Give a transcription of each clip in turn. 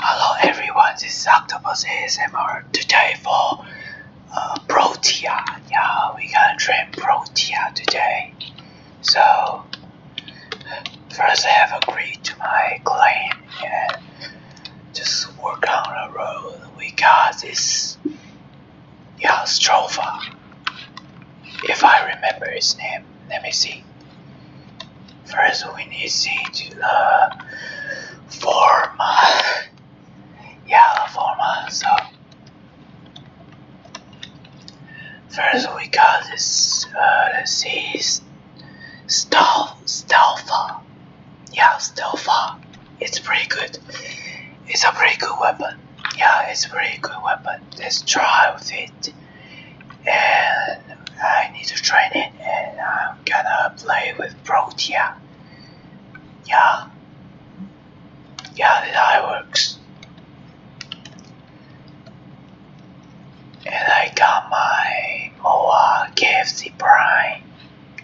Hello everyone, this is Octopus ASMR today for uh, Protea. Yeah, we gonna train Protea today. So, first I have agreed to my claim and just work on the road. We got this, yeah, Strofa. If I remember his name, let me see. First, we need see the form. Yeah, the form. So, first we got this. Uh, let's see, stealth, Yeah, stealth. It's pretty good. It's a pretty good weapon. Yeah, it's a pretty good weapon. Let's try with it and I need to train and I'm gonna play with Protea. Yeah. Yeah, that works. And I got my Moa KFC Prime.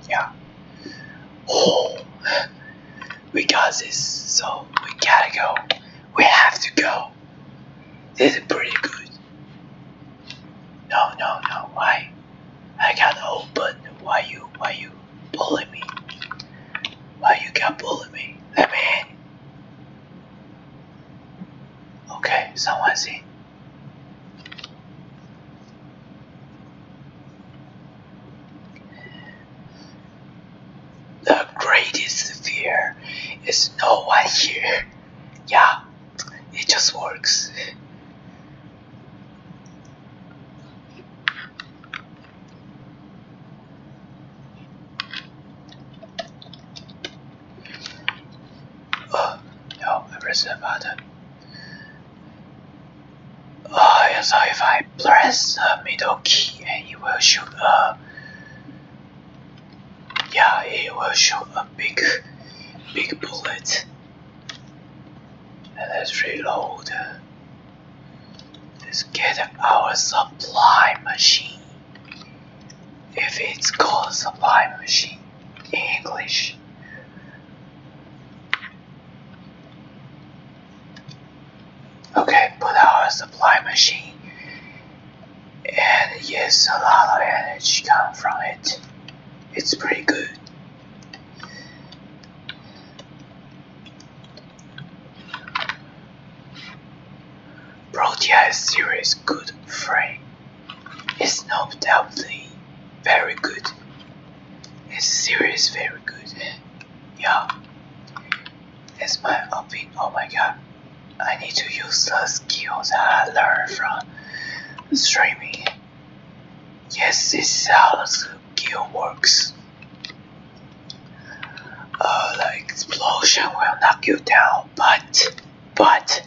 Yeah. Oh, we got this, so we gotta go. We have to go. This is pretty good. No, no, no. Why? I can't open. Why you? Why you bullying me? Why you can't bully me? Let me in. Okay, someone's in. The greatest fear is no one here yeah, it just works. Oh, no, I pressed the button. Oh, so if I press the middle key and it will shoot a yeah, he will shoot a big, big bullet. And let's reload. Let's get our supply machine. If it's called supply machine in English. Okay, put our supply machine and yes a lot of energy come from it it's pretty good Protea is serious good friend it's not doubtly very good it's serious very good yeah that's my opinion oh my god I need to use the skills I learned from streaming. Yes, this is how skill works. Uh, the explosion will knock you down, but but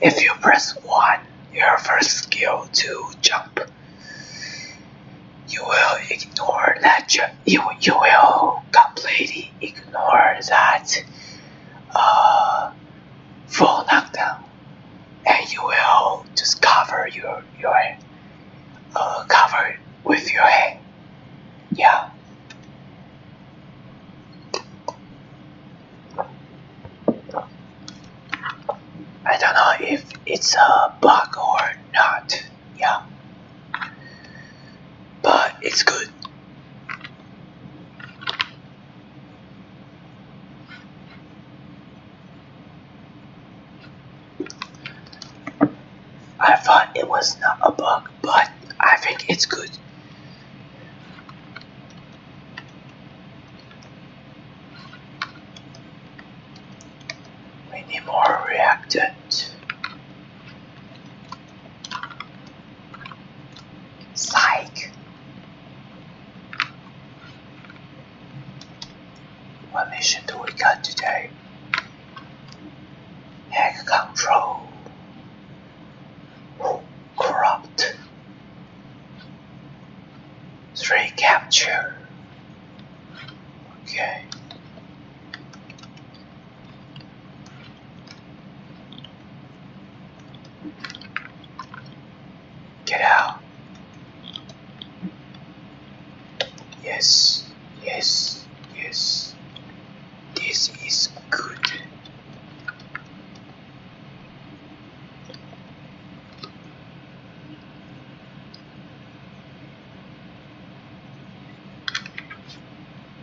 if you press one, your first skill to jump, you will ignore that. you you will completely ignore that uh, full knockdown, and you will just cover your your uh, cover with your hand. Yeah. I don't know if it's a bug or not. Yeah. But it's good. I thought it was not a bug, but I think it's good. We need more reactant. Psych. What mission do we got today? Hack control. Oh, corrupt. Three capture. Okay. Get out. Yes, yes, yes. This is good.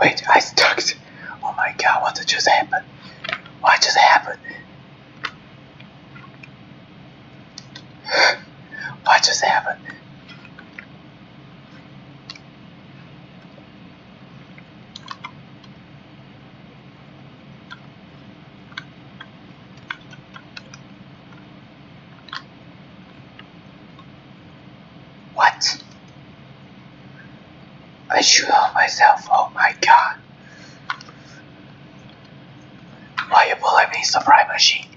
Wait, I stuck. Oh my god, what just happened? What just happened? what just happened? What? I shoot myself, oh my god. Why you pulling me, supply machine?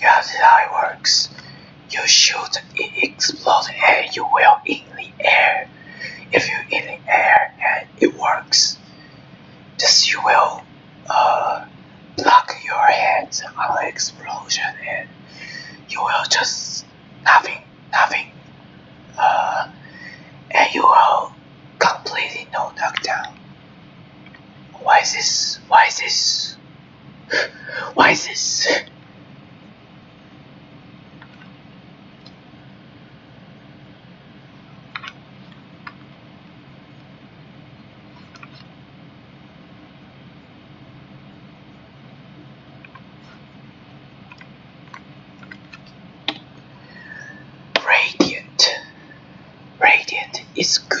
Yeah, this is how it works. You shoot, it explodes, and you will in the air. If you in the air and it works, this you will uh, block your head on explosion, and you will just nothing, nothing. Uh, and you are completely no knockdown. Why is this? Why is this? Why is this? Radiant. Radiant is good.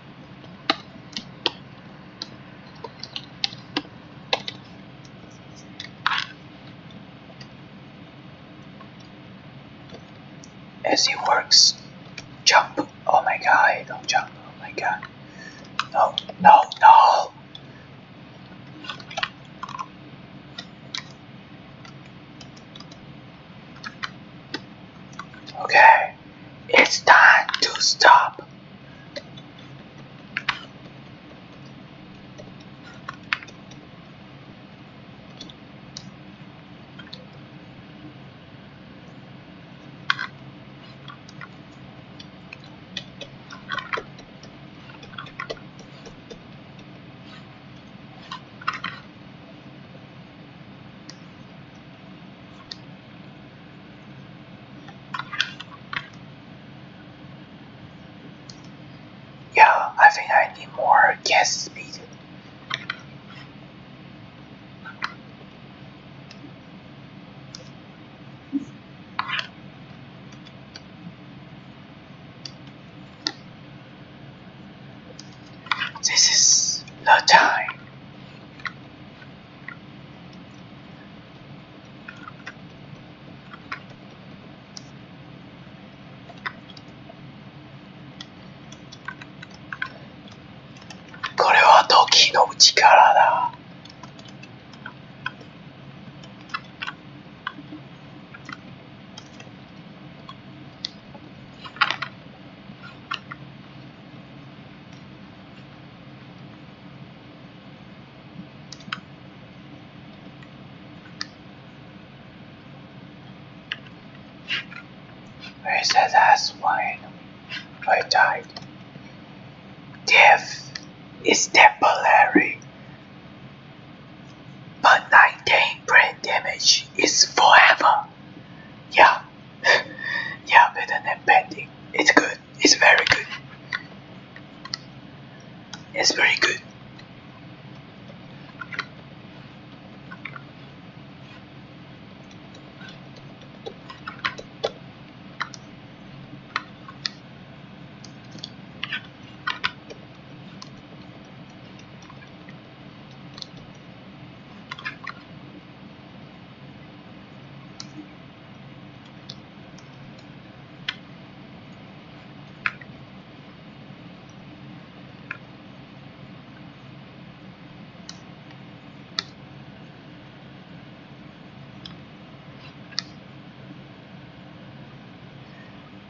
As it works, jump. Oh my god, don't jump. Oh my god. No, no, no. Okay. It's time to stop. Yeah, I think I need more gas speed. This is the time これは時の力だ。Where is that last one? I died. Death is temporary, but 19 brain damage is forever yeah, yeah, better than painting. It's good. It's very good. It's very good.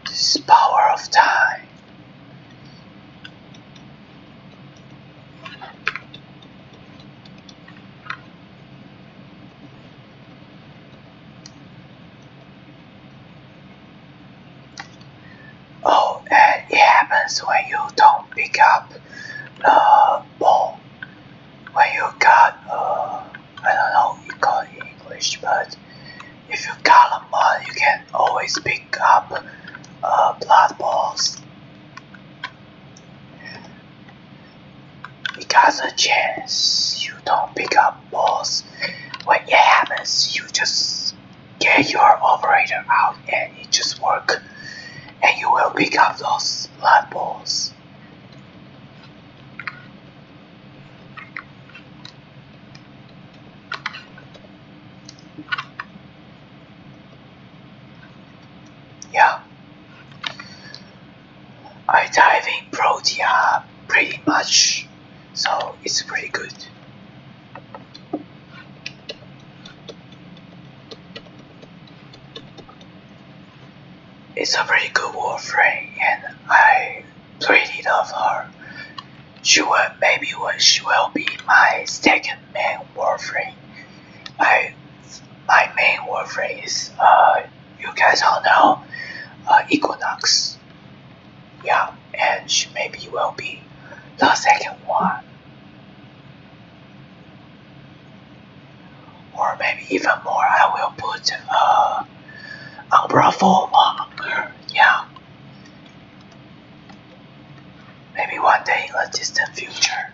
This power of time Oh, and it happens when you don't pick up the ball. When you got, uh, I don't know you call it English, but if you got a mud, you can always pick up uh, blood balls. Because the chance you don't pick up balls. When it happens, you just get your operator out and it just work. And you will pick up those blood balls. Yeah. I dive in Protea pretty much, so it's pretty good. It's a pretty good Warframe and I it love her. She will maybe will she will be my second main warfare. My my main warfare is uh you guys all know uh, Equinox. Yeah, and she maybe will be the second one. Or maybe even more, I will put uh, Umbrella Form on her. Yeah. Maybe one day in the distant future.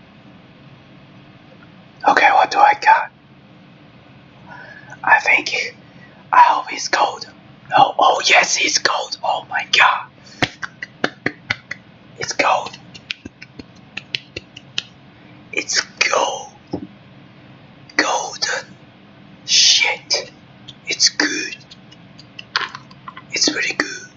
Okay, what do I got? I think. I hope it's gold. Oh, oh yes, it's gold. Oh my god. It's gold. It's gold. Golden. Shit. It's good. It's pretty good.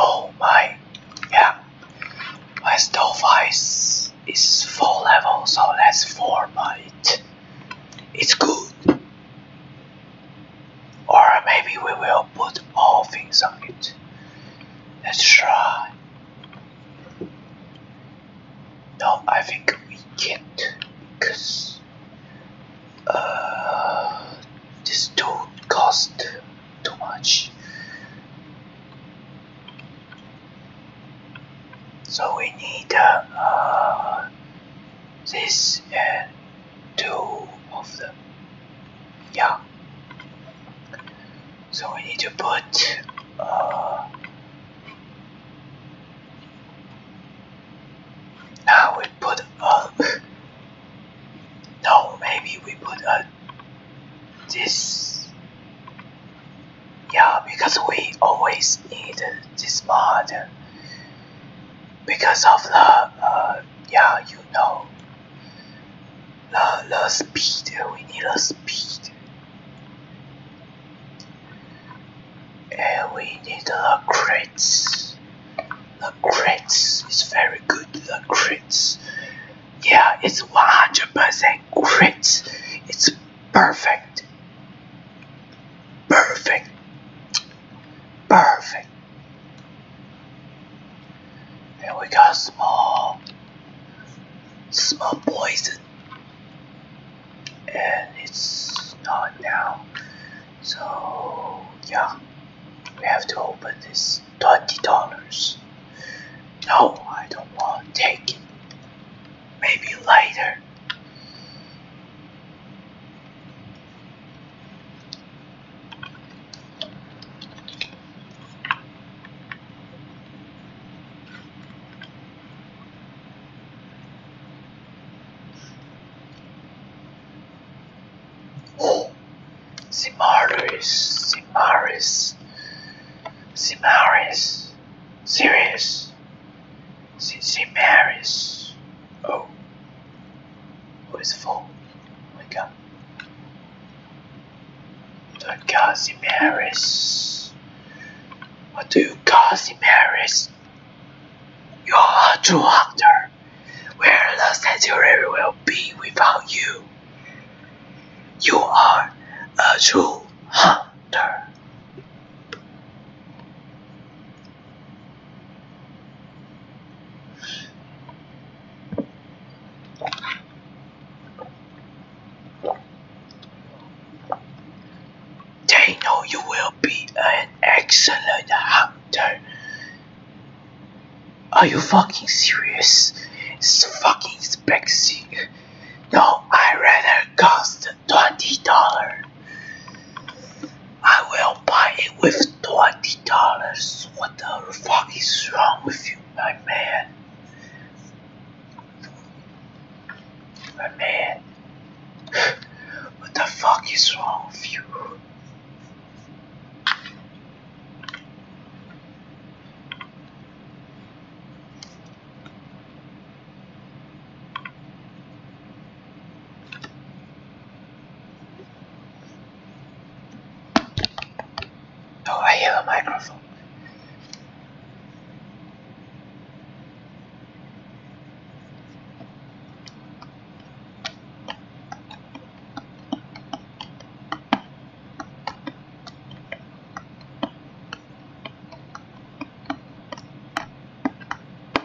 Oh my, yeah, my stove ice is 4 levels, so that's 4 by it. It's good. Or maybe we will put all things on it. Let's try. No, I think we can't because uh, this tool cost too much. So we need uh, this and two of them. Yeah. So we need to put uh, we put a no maybe we put a this yeah because we always need this mod because of the uh, yeah you know the, the speed we need the speed and we need the crits the crits is very good the crits yeah it's 100% crits it's Perfect. Perfect. Perfect. And we got small, small poison. And it's not now. So, yeah. We have to open this $20. No, I don't want take it. Maybe later. Simaris, Simaris, Simaris, Sirius, since in Paris. Oh. Who is full? Wake up. Don't cause in Paris. What do you call, in Paris? You are a true hunter. Where the century will be without you. You are a true hunter. They know you will be an excellent hunter. Are you fucking serious? It's fucking spexy. No, I rather cost twenty dollars. I will buy it with twenty dollars. What the fuck is wrong with you, my man? My man, what the fuck is wrong with you? Oh, I hit a microphone.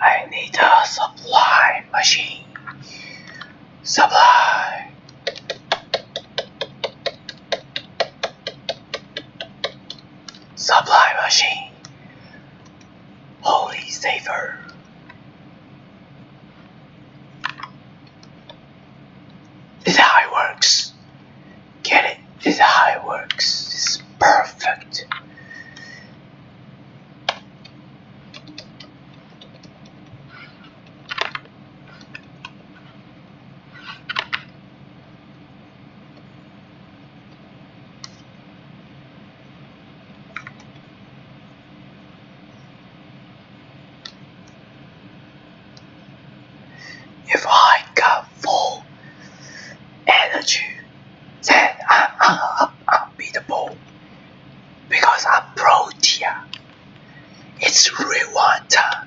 I need a supply machine. Supply. Supply machine. Holy saver. This how it works. Get it? This is how it works. This perfect. If I got full energy, then I'm unbeatable because I'm Protea. It's Rewanta.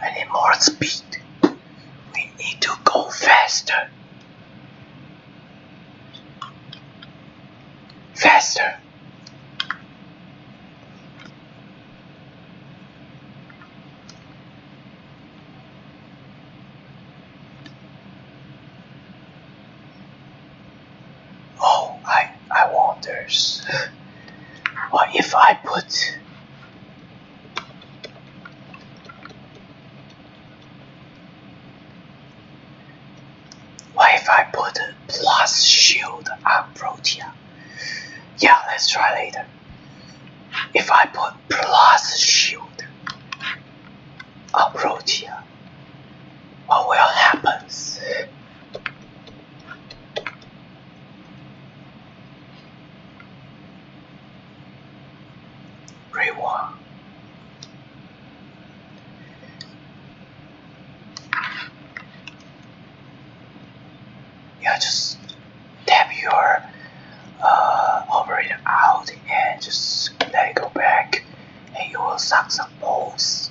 I need more speed. We need to go faster. Faster. Oh, I I wonders. what if I put What if I put plus shield on Protea? Yeah, let's try later. If I put plus shield approach here, what will happen? Reward yeah, just tap your uh, it out and just let it go back, and you will suck some balls.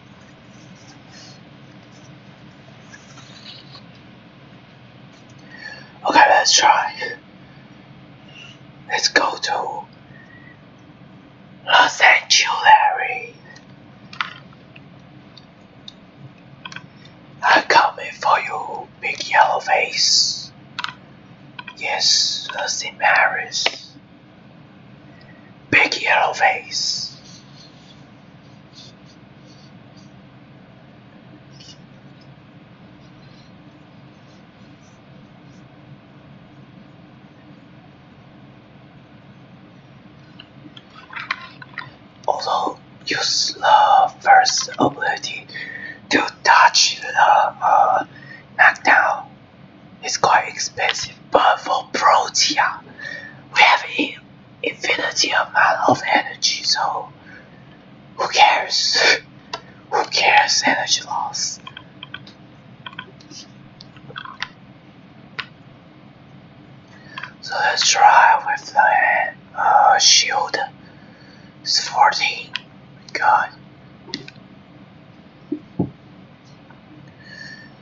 Okay, let's try. Let's go to Los Angeles. I'm coming for you, big yellow face. Yes, Los Angeles. Big yellow face. Although use the first ability to touch the uh, knockdown, it's quite expensive. But for Protea, we have him infinity amount of energy, so who cares? who cares energy loss? So let's try with the uh, shield. It's 14. God.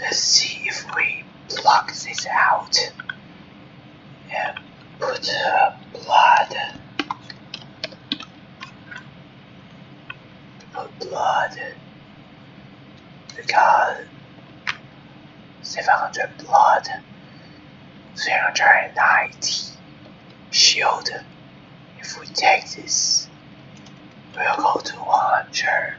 Let's see if we pluck this out and put uh, blood. Put blood because 700 blood, 390 shield. If we take this, we'll go to 100,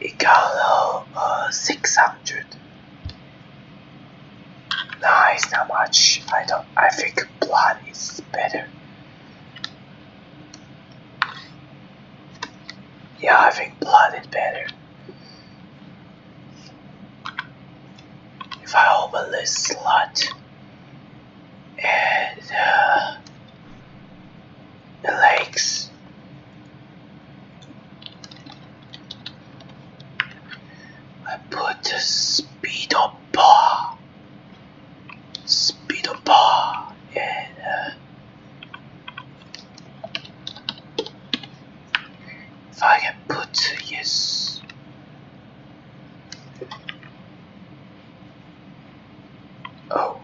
It got uh, 600. Nice, not much. I don't. I think blood is better. Yeah, I think blood is better. If I open this slot and uh, the legs I put the speed bar speed bar and so I can put yes. Oh,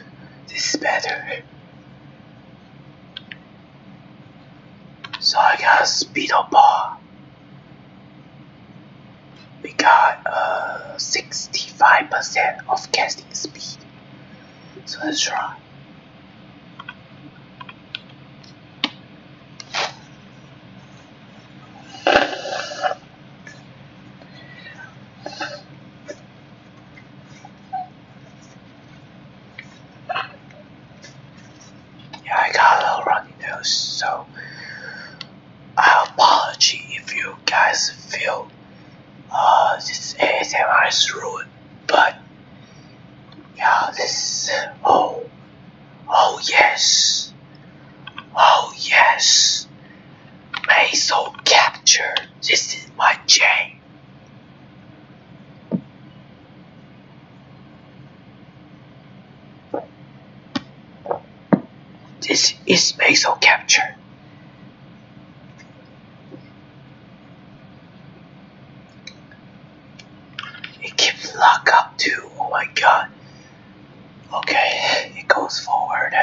this is better. So I got speed up bar. We got uh 65% of casting speed. So let's try. God. I got a little runny so I apology if you guys feel uh, this ASMR is ruined, but yeah, this. Oh. Oh, yes. Oh, yes. Maisel capture. This is my chain. This is Maisel capture. It keeps lock up too. Oh my god. Okay, it goes forward.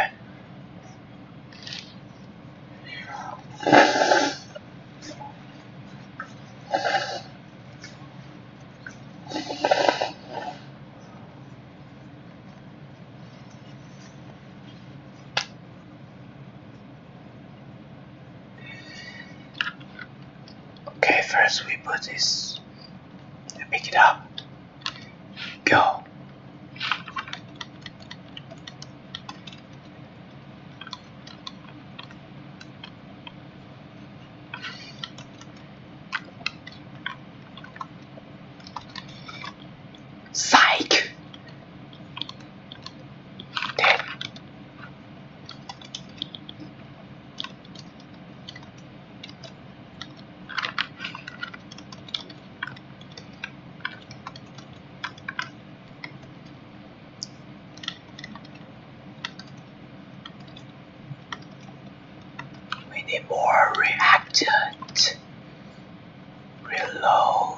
Okay, first we put this, pick it up, go. Psych! Dead. We need more reactant reload.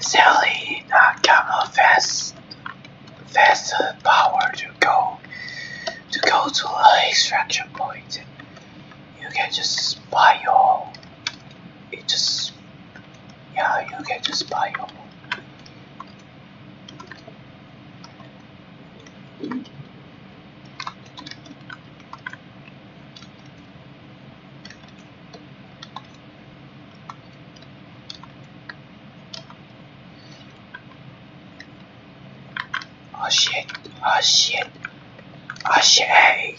Sally not uh, come fast fast uh, power to go to go to the extraction point you can just buy your it just yeah you can just buy your Oh shit, oh shit, oh shit.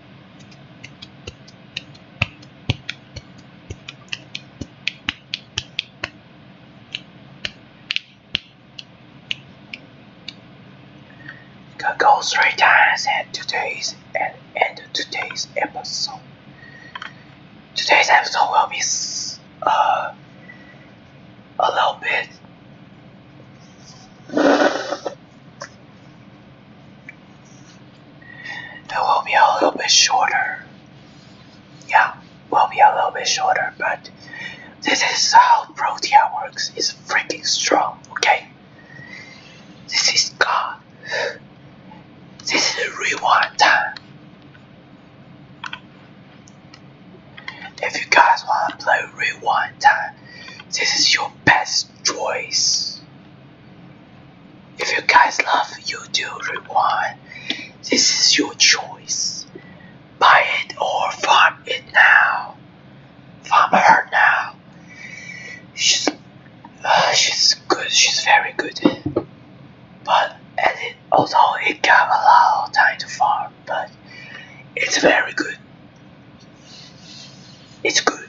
go three times at today's and end today's episode. Today's episode will be uh, a little bit it will be a little bit shorter. Yeah, will be a little bit shorter, but this is how Protea works. It's freaking strong, okay? This is God. This is rewind time. If you guys want to play rewind time, this is your best choice. If you guys love YouTube Rewind, this is your choice. Buy it or farm it now. Farm her now. She's, uh, she's good. She's very good. But and although it got a lot time to farm, but it's very good. It's good.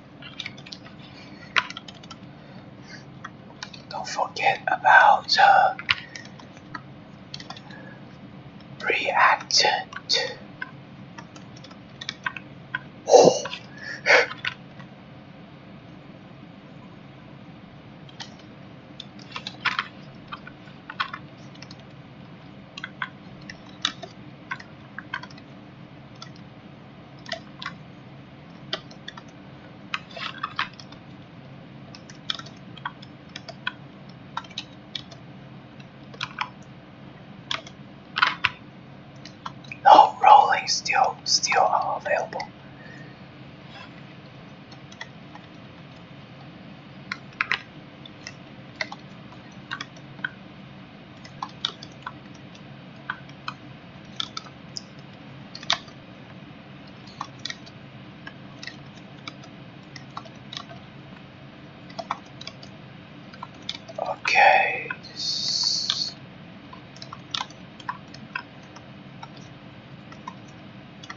Don't forget about the uh, reactant. No rolling still still available. Okay.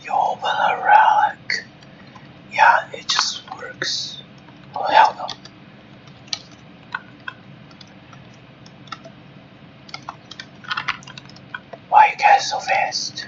You open a relic. Yeah, it just works. Oh, hell no. Why you guys so fast?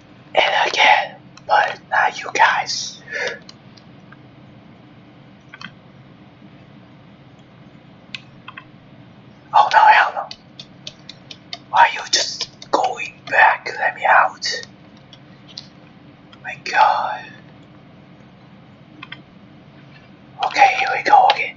and again, but not you guys. Oh no, hell are you just going back? Let me out. My god. Okay, here we go again.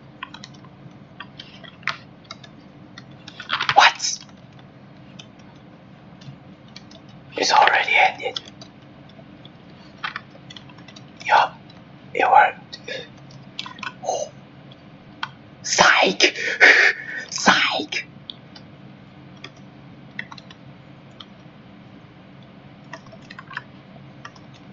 What? It's already ended. Yup, it worked. Psych! Psych!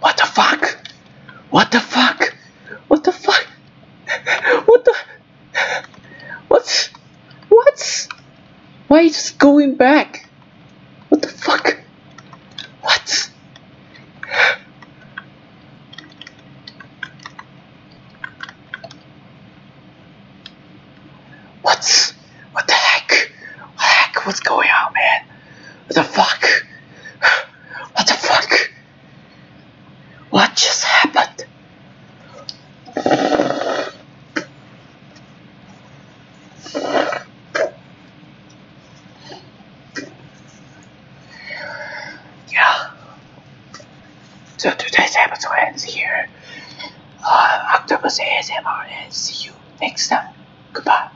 What the fuck? What the fuck? What the fuck? What the? What's? What's? Why is going back? What the fuck? What? What's? What the heck? heck? What's going on, man? What the fuck? What the fuck? What just happened? Yeah. So today's episode ends here. Uh, Octopus ASMR and see you next time. Goodbye.